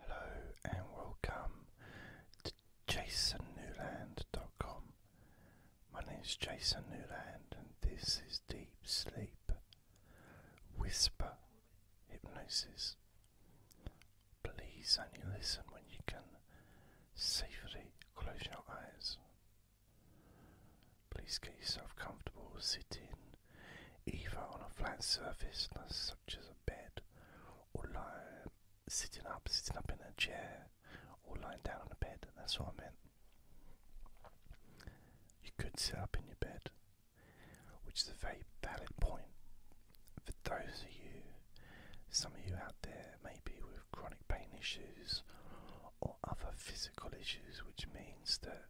Hello and welcome to jasonnewland.com. My name is Jason Newland and this is Deep Sleep Whisper Hypnosis. Please only listen when you can safely close your eyes. Please get yourself comfortable sitting either on a flat surface such as a bed or lying, sitting up, sitting up in a chair, or lying down on a bed. That's what I meant. You could sit up in your bed, which is a very valid point for those of you, some of you out there, maybe with chronic pain issues or other physical issues, which means that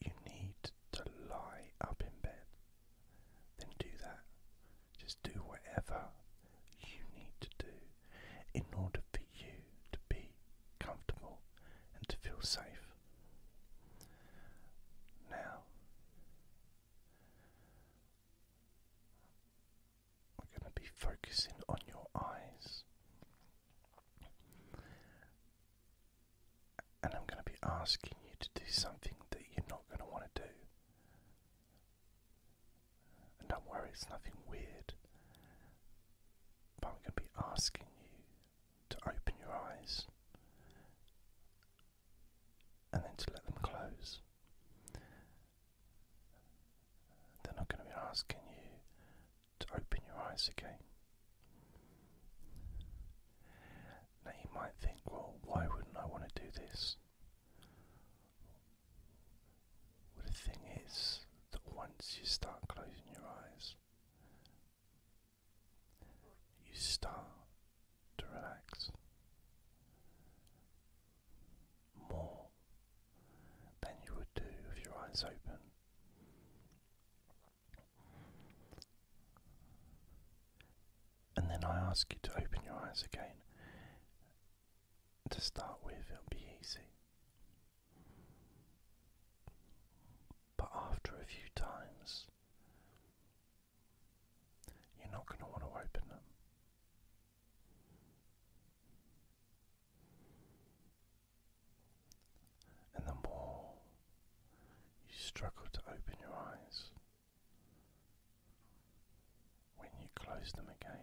you need to lie up in bed then do that. Just do whatever you need to do in order for you to be comfortable and to feel safe. Now, we're going to be focusing on your eyes and I'm going to be asking you to do something that you're not going to want to do. And don't worry, it's nothing weird. But I'm going to be asking you to open your eyes and then to let them close. They're not going to be asking you to open your eyes again. Now you might think, well, why wouldn't I want to do this? But the thing is that once you start closing your eyes, you start to relax more than you would do if your eyes open. And then I ask you to open your eyes again. To start with, it'll be easy. But after a few times, you're not going to want to open them. And the more you struggle to open your eyes, when you close them again,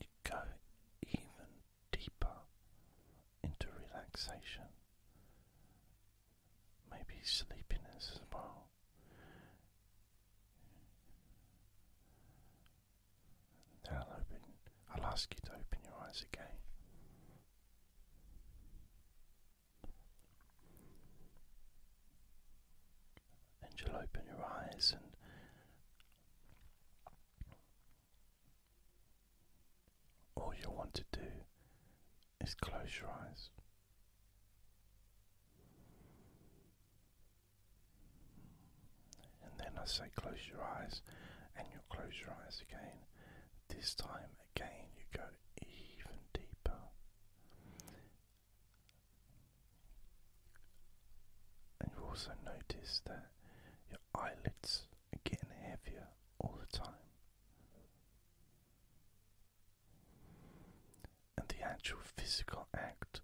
you go even deeper into relaxation, maybe sleepiness as well. Now I'll open. I'll ask you to open your eyes again. And you'll open your eyes and all you want to do is close your eyes. And then I say close your eyes, and you'll close your eyes again. This time again, you go even deeper. And you also notice that your eyelids are getting heavier all the time. And the actual physical act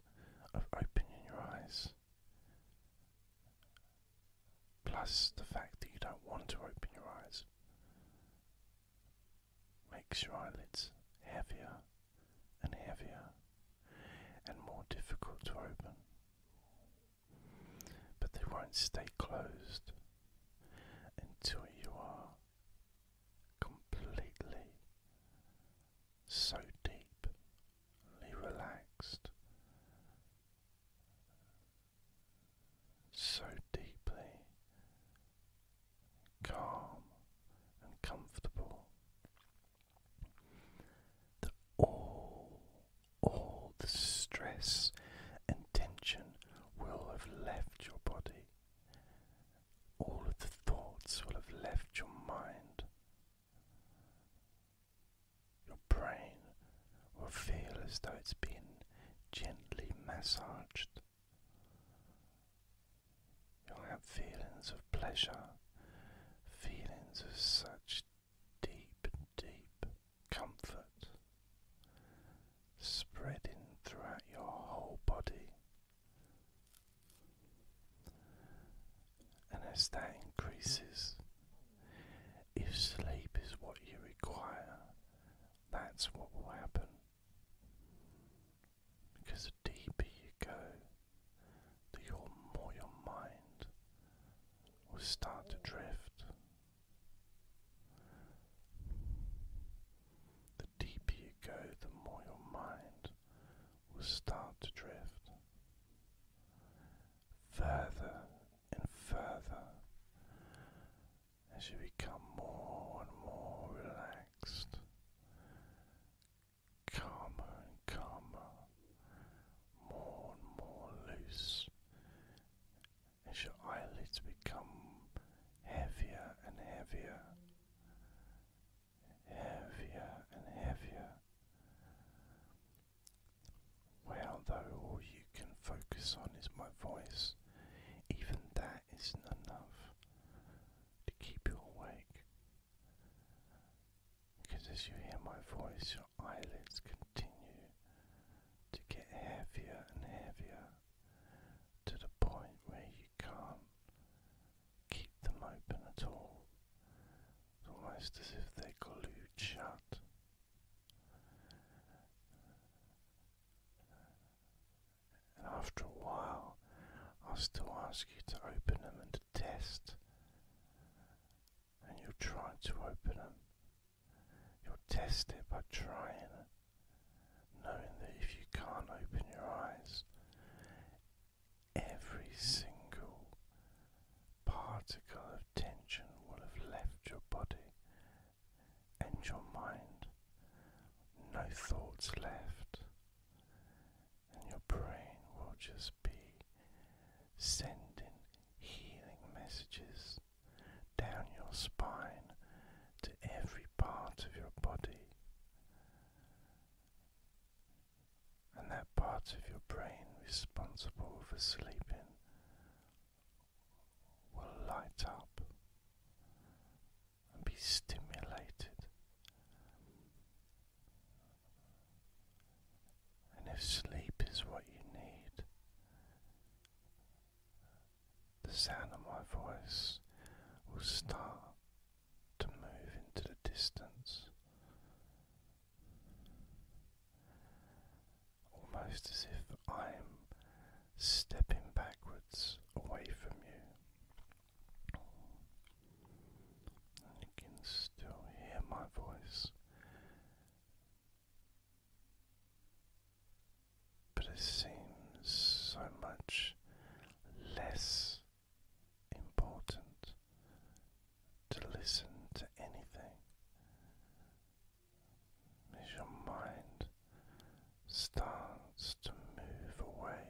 of opening your eyes plus the fact that you don't want to open your eyes makes your eyelids heavier and heavier and more difficult to open. But they won't stay closed until you are completely so deeply relaxed so deeply calm and comfortable that all, all the stress and tension will have left your body. All of the thoughts will have left your mind brain will feel as though it's been gently massaged. You'll have feelings of pleasure, feelings of such deep, deep comfort spreading throughout your whole body. And as that increases, if sleep is what you require, that's what will happen. Because the deeper you go, the more your mind will start to drift. The deeper you go, the more your mind will start to drift. Further and further as you become more and more relaxed, calmer and calmer, more and more loose, as your eyelids become heavier and heavier, heavier and heavier. Well, though, all you can focus on is my voice. Even that isn't enough to keep you awake. Because as you hear my voice, your eyelids continue to get heavier and heavier to the point where you can't keep them open at all. almost as if they're glued shut. And after a while, I'll still ask you to open them and to test. And you'll try to open them. You'll test it by trying it, knowing that if you can't open your eyes, every single particle of tension will have left your body and your mind. No thoughts left, and your brain will just be sending healing messages down your spine to every part of your body. And that part of your brain responsible for sleeping will light up and be stimulated. And if sleep is what you need, the sound of my voice will start to move into the distance almost as if I'm stepping backwards away from you. you can still hear my voice, but it seems so much less important to listen to anything as your mind starts to move away,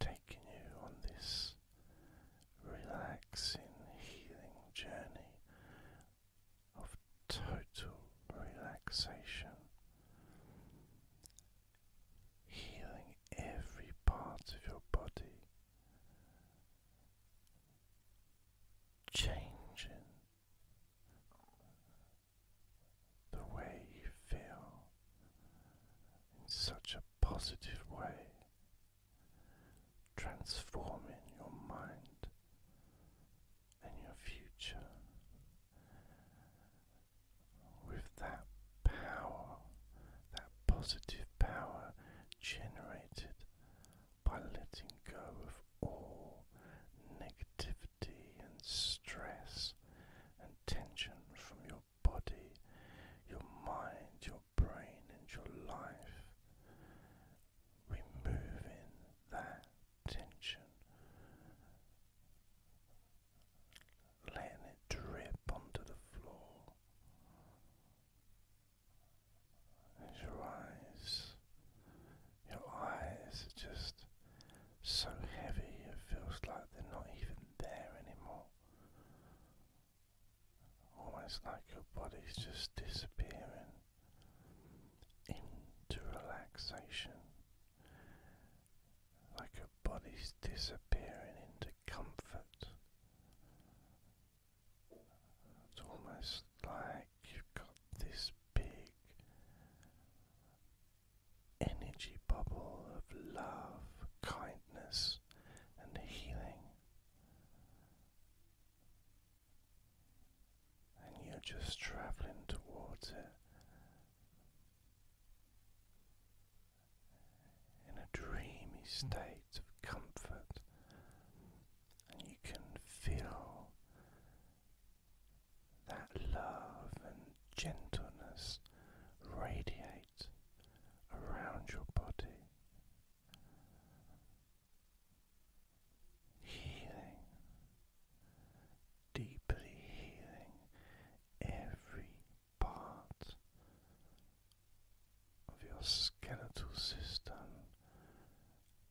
taking you on this relaxing, healing journey of total relaxation, healing every part of your body changing the way you feel in such a positive way, transforming your mind and your future with that power, that positive power generated by letting go of all negativity and stress and tension from your body, your mind, your brain, and your life. Removing that tension, letting it drip onto the floor. As your eyes, your eyes are just so heavy it feels like they're not even there anymore. Almost like your body's just disappearing into relaxation. Like your body's disappearing into comfort. It's almost like you've got this big energy bubble of love, kindness, and healing, and you're just traveling towards it. In a dreamy state of comfort and you can feel that love and gentleness radiate around your body, healing, deeply healing every part of your skeletal system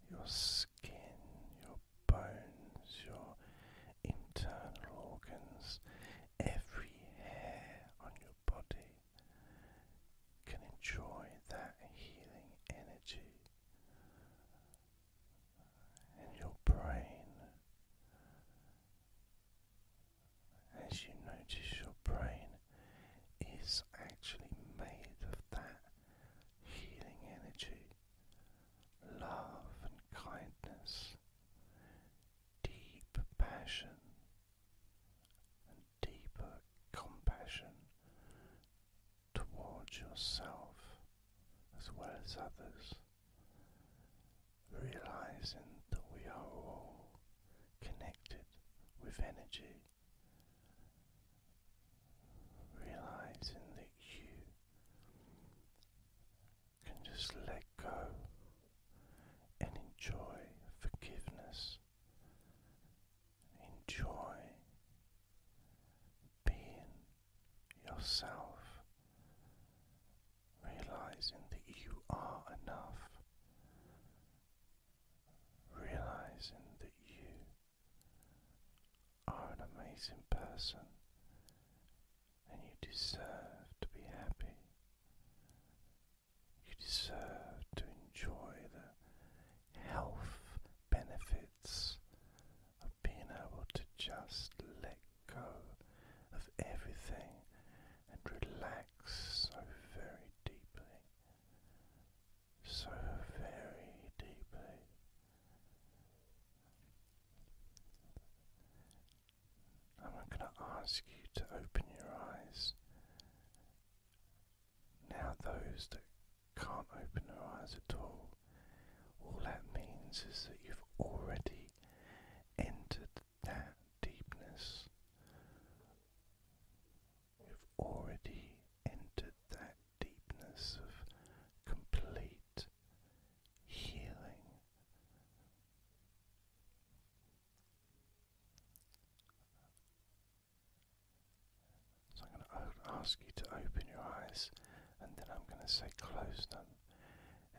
your skin, your bones, your internal organs, every hair on your body can enjoy that healing energy. And your brain, as you notice, your brain is actually made of that healing energy, love and kindness, deep passion and deeper compassion towards yourself as well as others. Realizing that we are all connected with energy realizing that you can just let go and enjoy forgiveness, enjoy being yourself, realizing that you are enough. Realizing that you are an amazing person and you deserve to be happy. You deserve to enjoy the health benefits of being able to just let go of everything and relax so very deeply so very deeply. I'm going to ask you to open your eyes. Now, those that can't open their eyes at all, all that means is that you've already entered that deepness. You've already entered that deepness of complete healing. So, I'm going to ask you to open your eyes and then I'm going to say close them.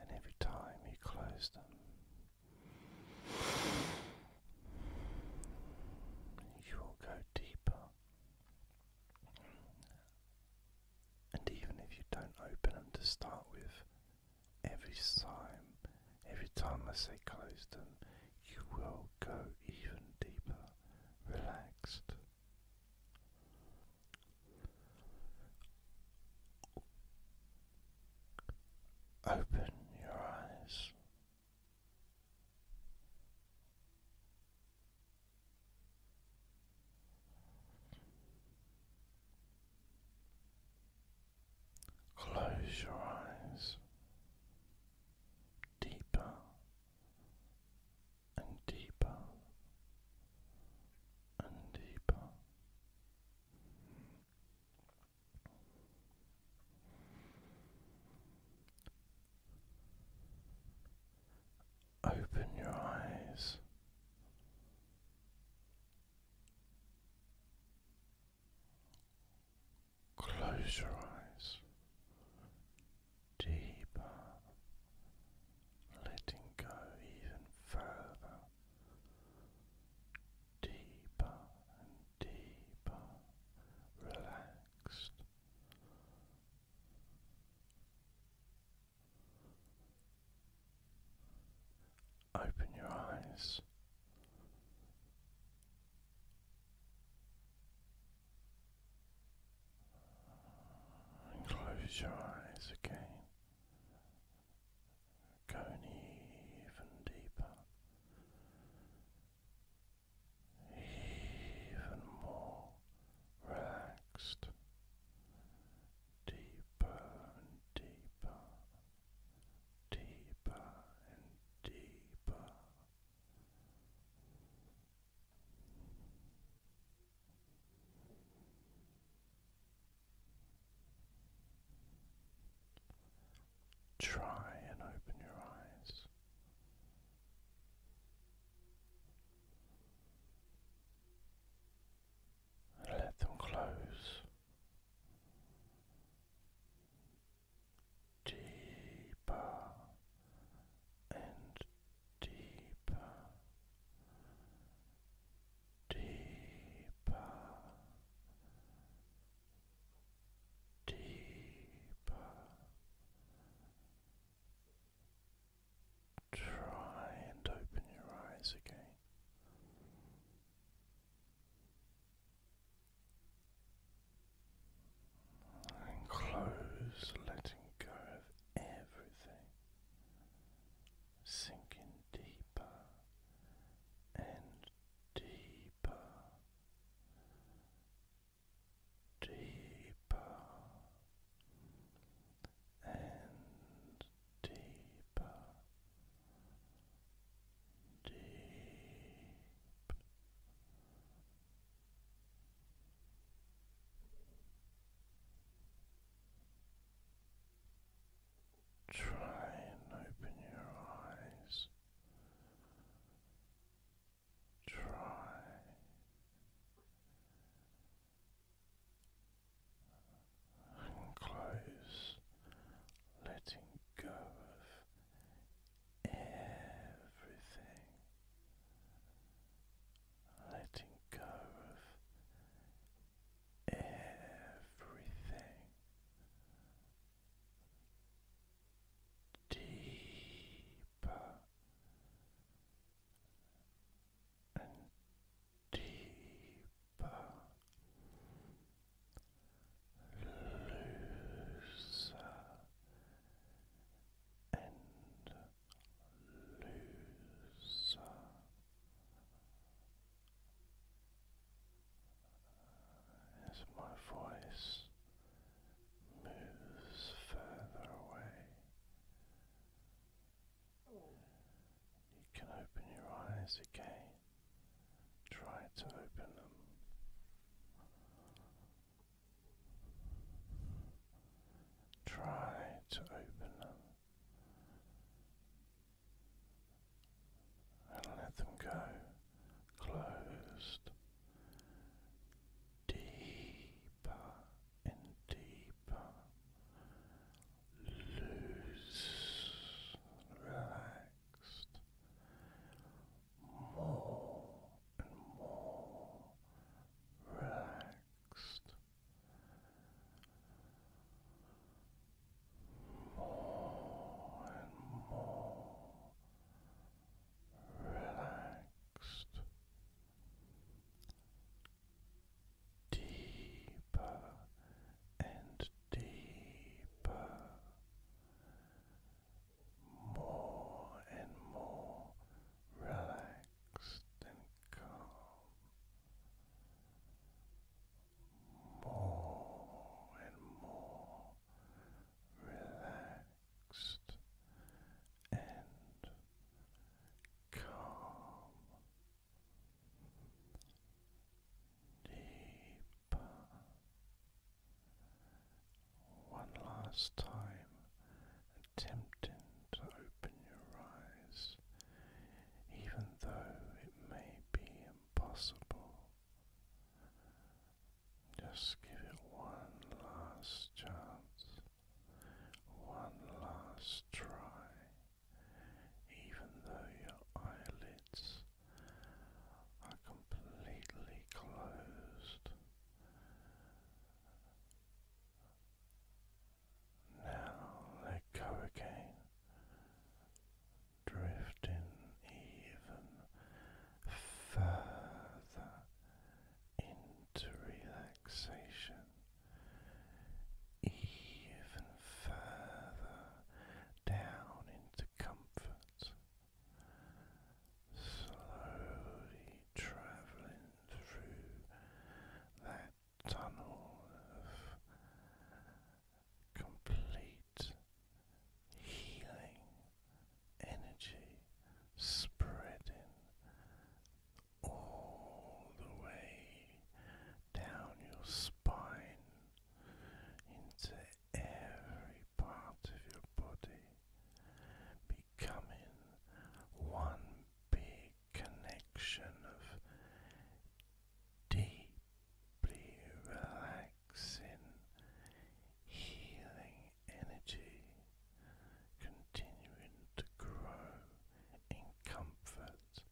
And every time you close them, you will go deeper and even if you don't open them to start with, every time, every time I say close them, you will go even deeper, relaxed. Open your eyes Close your eyes deeper and deeper and deeper. Open your eyes. Close your eyes deeper, letting go even further, deeper and deeper, relaxed, Open your eyes. And close your eyes again. Going even deeper even more relaxed, deeper and deeper, deeper and deeper. Try and open your eyes and let them close deeper and deeper, deeper, deeper. Try and open your eyes again. And close, letting go of everything, sinking deeper and deeper deeper and deeper, deep. Try and open your eyes try and close, letting go of everything, letting go of everything. Deep and deeper, looser and looser. As my voice moves further away. You can open your eyes again. Try to open them. Try to open them and let them go closed deeper and deeper. Loose, relaxed, more and more relaxed, more and more relaxed deeper and deeper, more and more relaxed and calm, more and more relaxed and calm. Deeper. One last time, attempting to open your eyes, even though it may be impossible. Just give it one last chance. One last try, even though your eyelids are completely closed. Now let go again, drifting even further into relaxation even further down into comfort, slowly traveling through that tunnel of complete healing energy spreading all the way down your spine into every part of your body, becoming one big connection of deeply relaxing, healing energy continuing to grow in comfort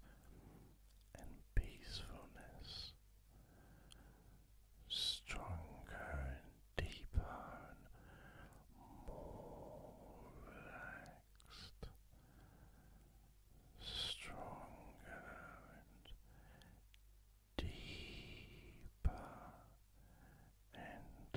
and peacefulness, stronger and deeper more relaxed, stronger and Deeper and